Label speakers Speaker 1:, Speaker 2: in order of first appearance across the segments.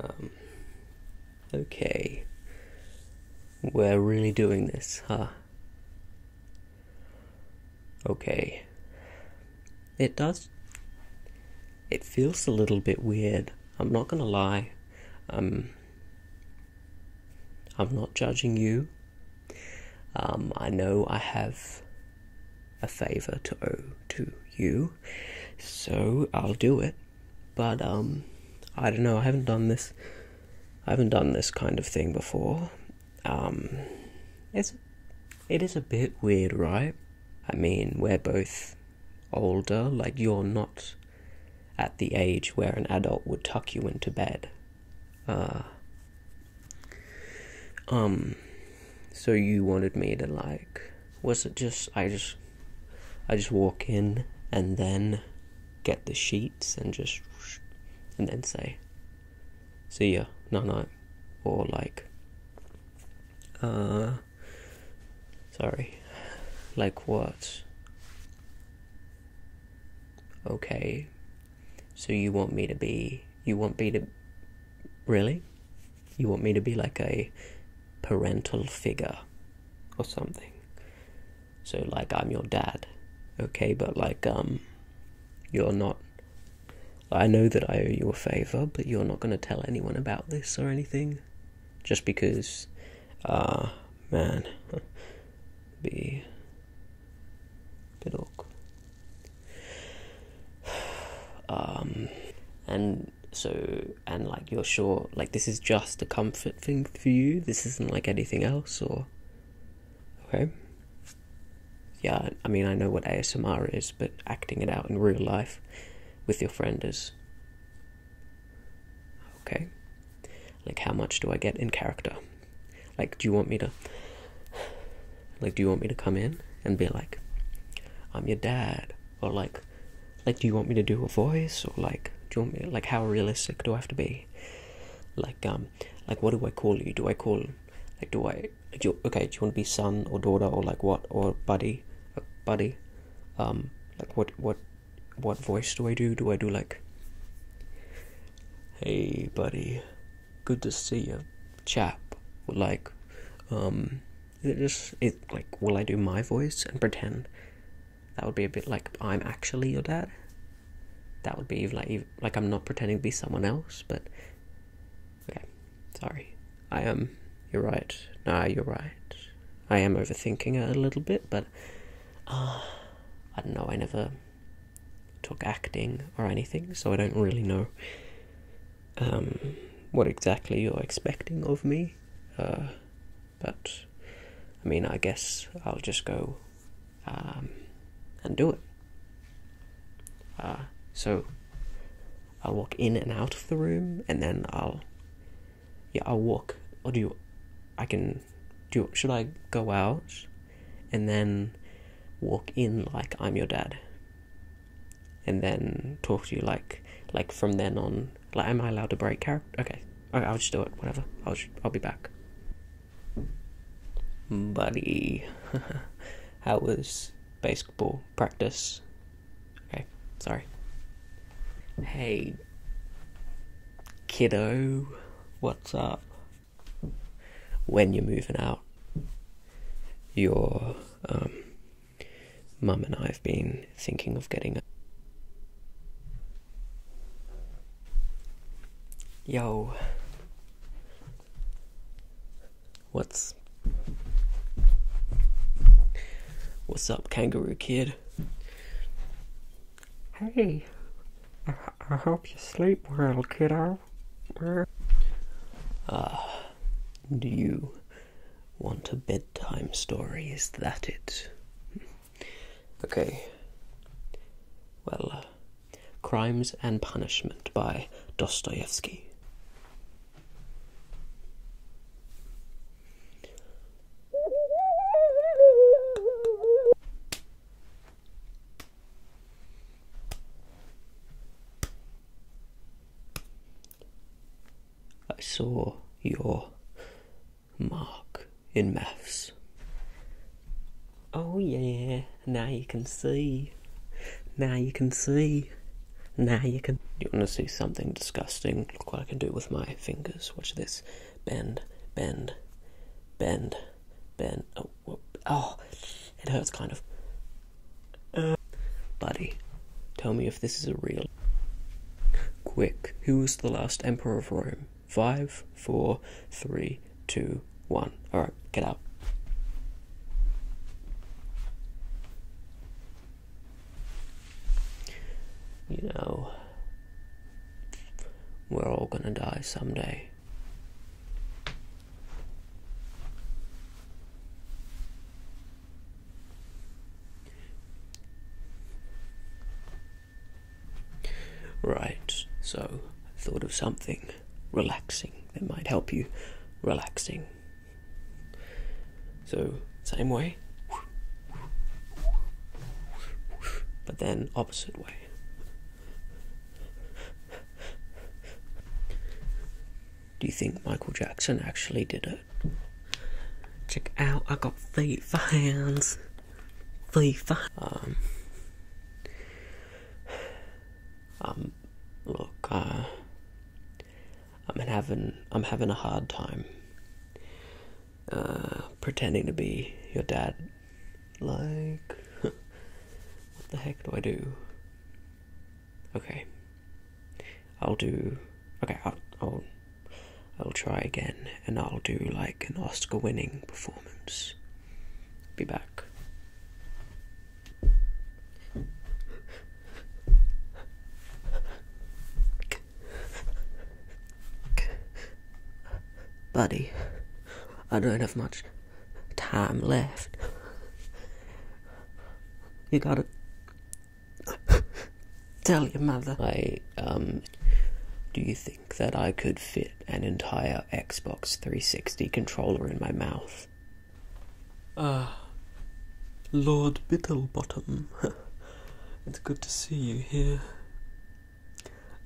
Speaker 1: Um, okay. We're really doing this, huh? Okay. It does. It feels a little bit weird. I'm not gonna lie. Um, I'm not judging you. Um, I know I have a favor to owe to you, so I'll do it. But um, I don't know. I haven't done this. I haven't done this kind of thing before. Um, it's it is a bit weird, right? I mean, we're both older. Like you're not at the age where an adult would tuck you into bed. Uh, um, so you wanted me to like was it just I just I just walk in and then get the sheets and just and then say see ya no no or like uh sorry like what okay so you want me to be you want me to really you want me to be like a parental figure or something. So, like, I'm your dad, okay? But, like, um, you're not. I know that I owe you a favor, but you're not going to tell anyone about this or anything. Just because, uh, man, be a bit awkward. Um, and so and like you're sure like this is just a comfort thing for you this isn't like anything else or okay yeah i mean i know what asmr is but acting it out in real life with your friend is okay like how much do i get in character like do you want me to like do you want me to come in and be like i'm your dad or like like do you want me to do a voice or like do you want me like how realistic do i have to be like um like what do i call you do i call like do i do okay do you want to be son or daughter or like what or buddy uh, buddy um like what what what voice do i do do i do like hey buddy good to see you chap like um is it just it like will I do my voice and pretend? That would be a bit like I'm actually your dad. That would be like like I'm not pretending to be someone else, but okay. Sorry. I am you're right. No, you're right. I am overthinking a little bit, but uh, I don't know, I never took acting or anything, so I don't really know um, what exactly you're expecting of me. Uh, but I mean, I guess I'll just go um, and do it. Uh, so I'll walk in and out of the room, and then I'll yeah I'll walk. Or do I can do. should I go out and then walk in like I'm your dad, and then talk to you like like from then on like, am I allowed to break character? Okay. I'll just do it. Whatever. I'll I'll be back. Buddy, how was baseball practice? Okay, sorry. Hey, kiddo, what's up? When you're moving out, you're um, Mum and I have been thinking of getting a. Yo. What's. What's up, kangaroo kid? Hey. I, hope you sleep well, kiddo. Uh, do you want a bedtime story, is that it? Okay. Well, uh, Crimes and Punishment by Dostoevsky. I saw your mark in maths. Oh, yeah, now you can see. Now you can see. Now you can. you want to see something disgusting? Look what I can do with my fingers. Watch this. Bend, bend, bend, bend. Oh, oh it hurts kind of. Uh, buddy. Tell me if this is a real. Quick, who was the last emperor of Rome? Five, four, three, two, one. Alright, get out. You know, we're all gonna die someday. Right, so I thought of something relaxing that might help you relaxing. So, same way, but then opposite way. Do you think Michael Jackson actually did it? Check out, I got feet for hands. feet for um, um, look, uh, I'm having, I'm having a hard time, uh, pretending to be your dad. Like, what the heck do I do? Okay, I'll do Okay, I'll, I'll, try again, and I'll do like an Oscar-winning performance. Be back. Buddy, I don't have much time left. You gotta Tell your mother. I, um, do you think that I could fit an entire Xbox 360 controller in my mouth? Ah, Lord Bittlebottom. it's good to see you here.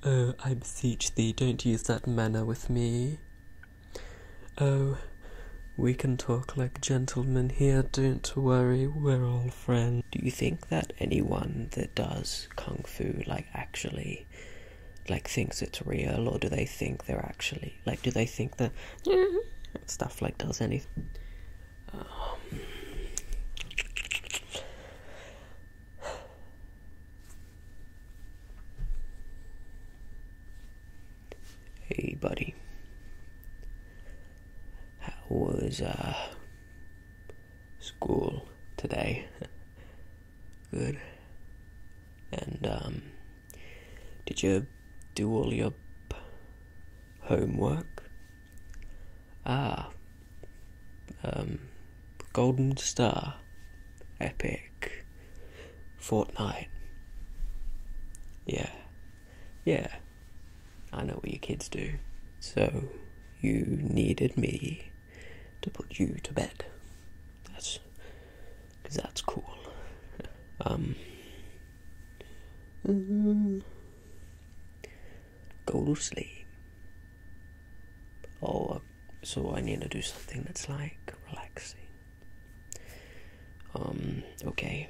Speaker 1: Oh, I beseech thee, don't use that manner with me. Oh, we can talk like gentlemen here, don't worry, we're all friend. Do you think that anyone that does kung fu like actually like thinks it's real or do they think they're actually like do they think that stuff like does anything? Um, hey, buddy. How was uh, school today? Good. And um, did you do all your homework? Ah, um, Golden Star, Epic, Fortnite. Yeah, yeah. I know what your kids do. So, you needed me to put you to bed. That's. that's cool. Um. go to sleep. Oh, uh, so I need to do something that's like relaxing. Um, okay.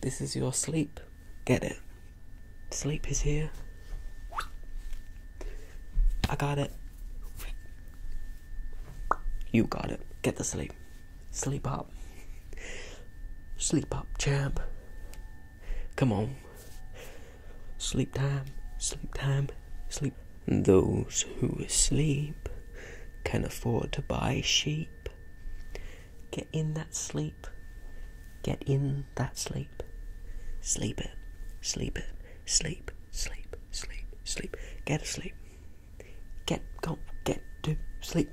Speaker 1: This is your sleep. Get it. Sleep is here. I got it. You got it. Get the sleep. Sleep up. Sleep up, champ. Come on. Sleep time. Sleep time. Sleep. Those who sleep can afford to buy sheep. Get in that sleep. Get in that sleep. Sleep it. Sleep it. Sleep. Sleep. Sleep. Sleep. Get asleep. Get go get to sleep.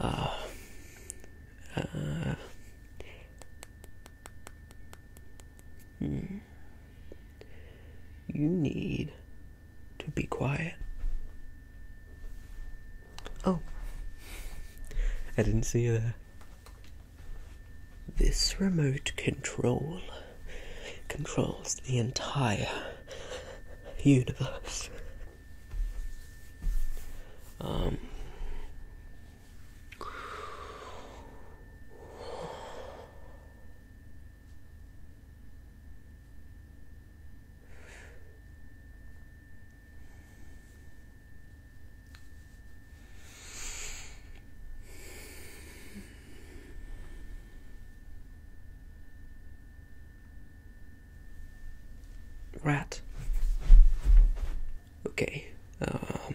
Speaker 1: Ah. Uh, hmm you, need to be quiet. Oh, I didn't see you there. This remote control controls the entire universe. Um. Rat. Okay. Um,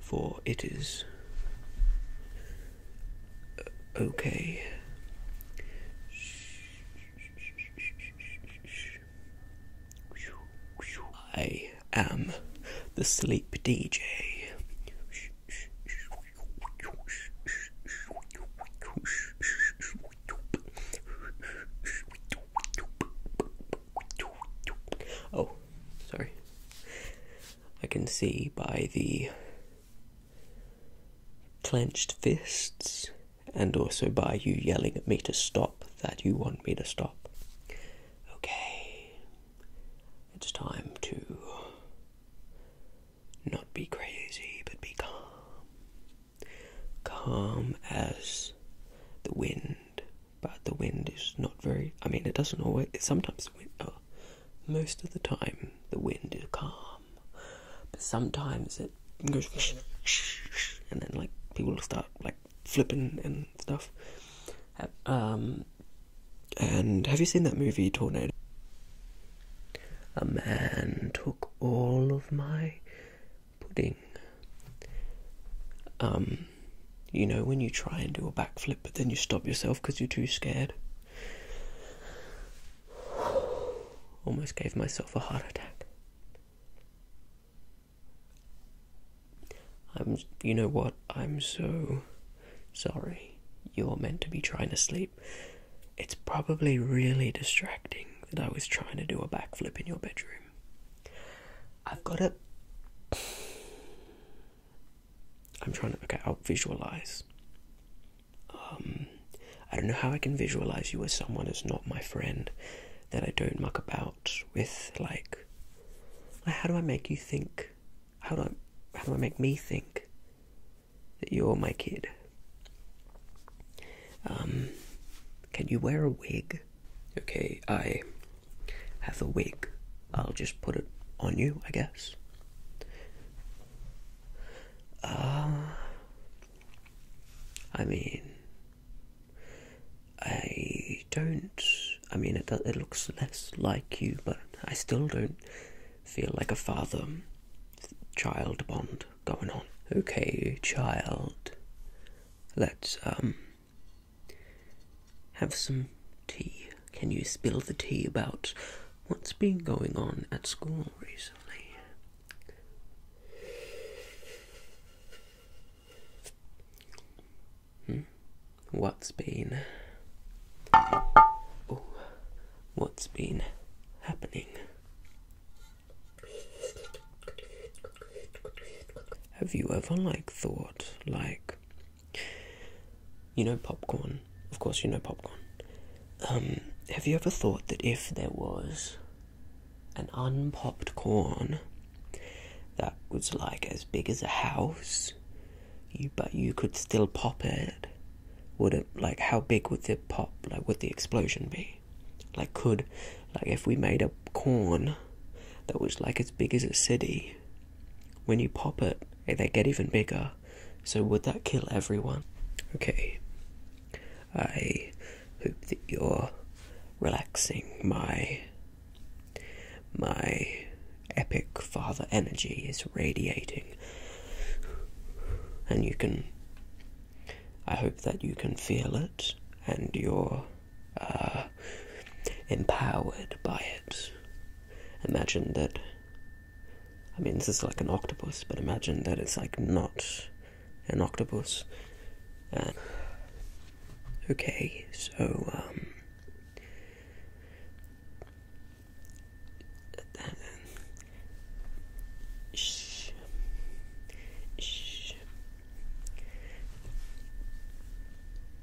Speaker 1: for it is uh, okay. I am the sleep DJ. Oh, sorry, I can see by the clenched fists and also by you yelling at me to stop that you want me to stop. Okay, it's time to not be crazy but be calm. Calm as the wind but the wind is not very. I mean, it doesn't always. Sometimes, the uh, wind, most of the time, the wind is calm, but sometimes it goes and then like people start like flipping and stuff. Uh, um, and have you seen that movie Tornado? A man took all of my pudding. Um, you know, when you try and do a backflip, but then you stop yourself because you're too scared. Almost gave myself a heart attack. I'm, you know what? I'm so sorry. You're meant to be trying to sleep. It's probably really distracting that I was trying to do a backflip in your bedroom. I've got it. I'm trying to okay, I'll visualize. Um I don't know how I can visualize you as someone who's not my friend that I don't muck about with like how do I make you think how do I how do I make me think that you're my kid? Um can you wear a wig? Okay, I have a wig. I'll just put it on you, I guess. Uh, I mean, I don't. I mean, it it looks less like you, but I still don't feel like a father child bond going on. Okay, child. Let's um have some tea. Can you spill the tea about what's been going on at school recently? Hmm? What's been. Oh, what's been happening? Have you ever like thought like you know popcorn? Of course you know popcorn. Um, have you ever thought that if there was an unpopped corn that was like as big as a house you but you could still pop it would it like how big would the pop like would the explosion be like could like if we made a corn that was like as big as a city when you pop it, they get even bigger. So, would that kill everyone? Okay. I hope that you're relaxing my my epic father energy is radiating and you can i hope that you can feel it and you're uh, empowered by it. Imagine that. I mean, this is like an octopus, but imagine that it's like not an octopus. okay, so, um. Shh. Shh.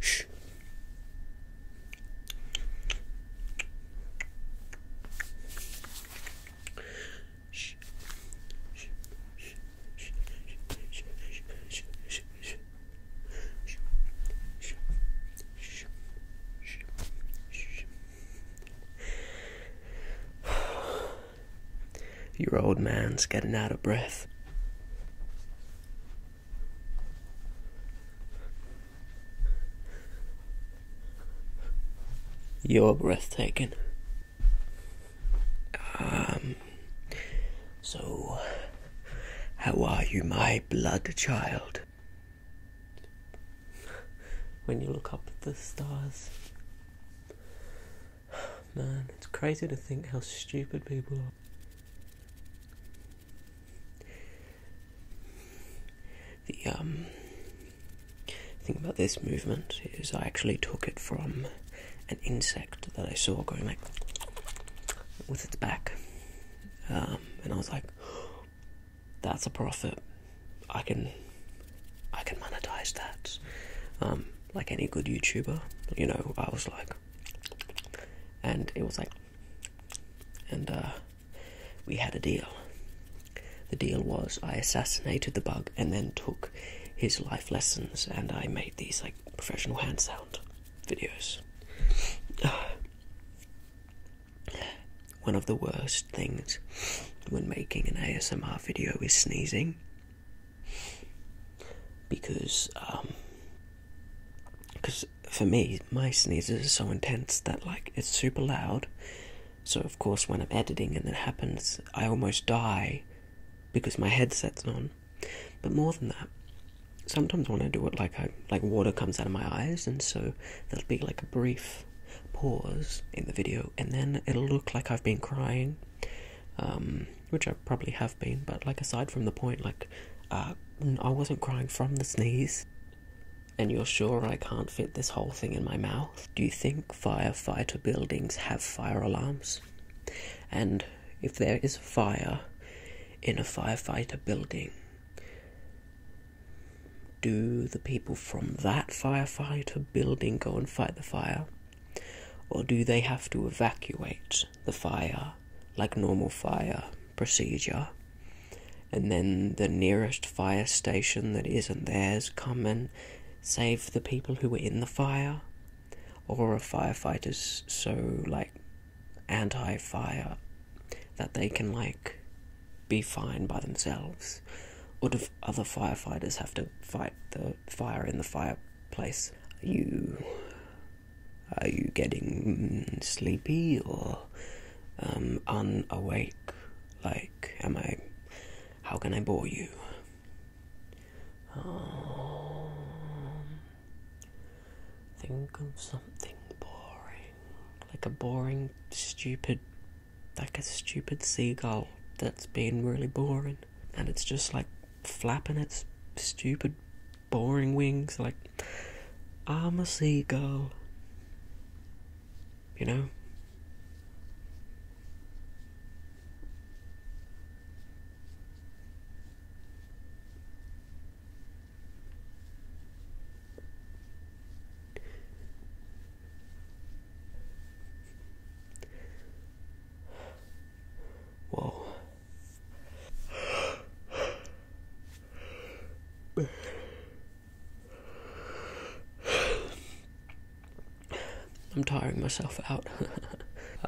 Speaker 1: Shh. Shh. Your old man's getting out of breath. You're breathtaking. Um, so, how are you, my blood child? When you look up at the stars, man, it's crazy to think how stupid people are. The um, thing about this movement is I actually took it from an insect that I saw going like with its back, um, and I was like, "That's a profit. I can, I can monetize that." Um, like any good YouTuber, you know, I was like, and it was like and uh, we had a deal. The deal was I assassinated the bug and then took his life lessons and I made these like professional hand sound videos. One of the worst things when making an ASMR video is sneezing because um, for me, my sneezes are so intense that like it's super loud. So of course, when I'm editing and it happens, I almost die because my headset's on. But more than that, sometimes when I do it, like like water comes out of my eyes, and so there'll be like a brief pause in the video, and then it'll look like I've been crying, um, which I probably have been, but like aside from the point, like uh, I wasn't crying from the sneeze. And you're sure I can't fit this whole thing in my mouth? Do you think firefighter buildings have fire alarms? And if there is fire in a firefighter building, do the people from that firefighter building go and fight the fire? Or do they have to evacuate the fire like normal fire procedure. And then the nearest fire station that isn't theirs come and save the people who were in the fire. Or are firefighters so like anti fire that they can like be fine by themselves? Or do other firefighters have to fight the fire in the fireplace? You are you getting mm, sleepy or um, unawake? Like, am I. How can I bore you? Um, think of something boring. Like a boring, stupid. Like a stupid seagull that's been really boring. And it's just like flapping its stupid boring wings. Like, I'm a seagull. You know? Whoa. I'm tiring myself out.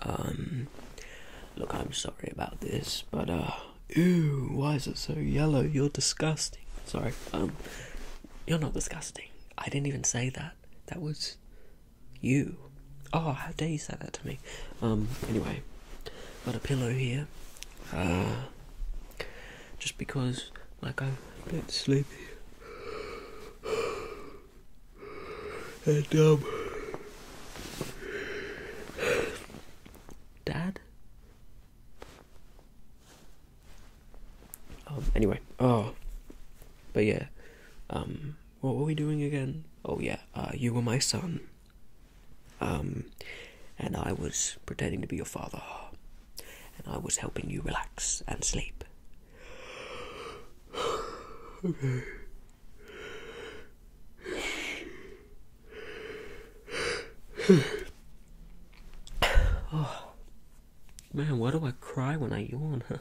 Speaker 1: Um, look, I'm sorry about this, but uh, ew, why is it so yellow? You're disgusting. Sorry, um, you're not disgusting. I didn't even say that. That was you. Oh, how dare you say that to me? Um, anyway. Got a pillow here. Ah. just because, like, I'm a bit sleepy. Um, Dad? Um, anyway, oh. But yeah, um, what were we doing again? Oh, yeah, uh, you were my son. Um, and I was pretending to be your father, and I was helping you relax and sleep. okay. oh, man, why do I cry when I yawn?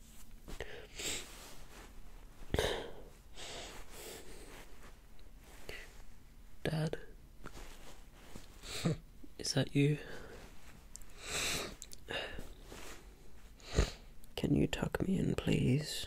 Speaker 1: Dad, is that you? Can you tuck me in, please?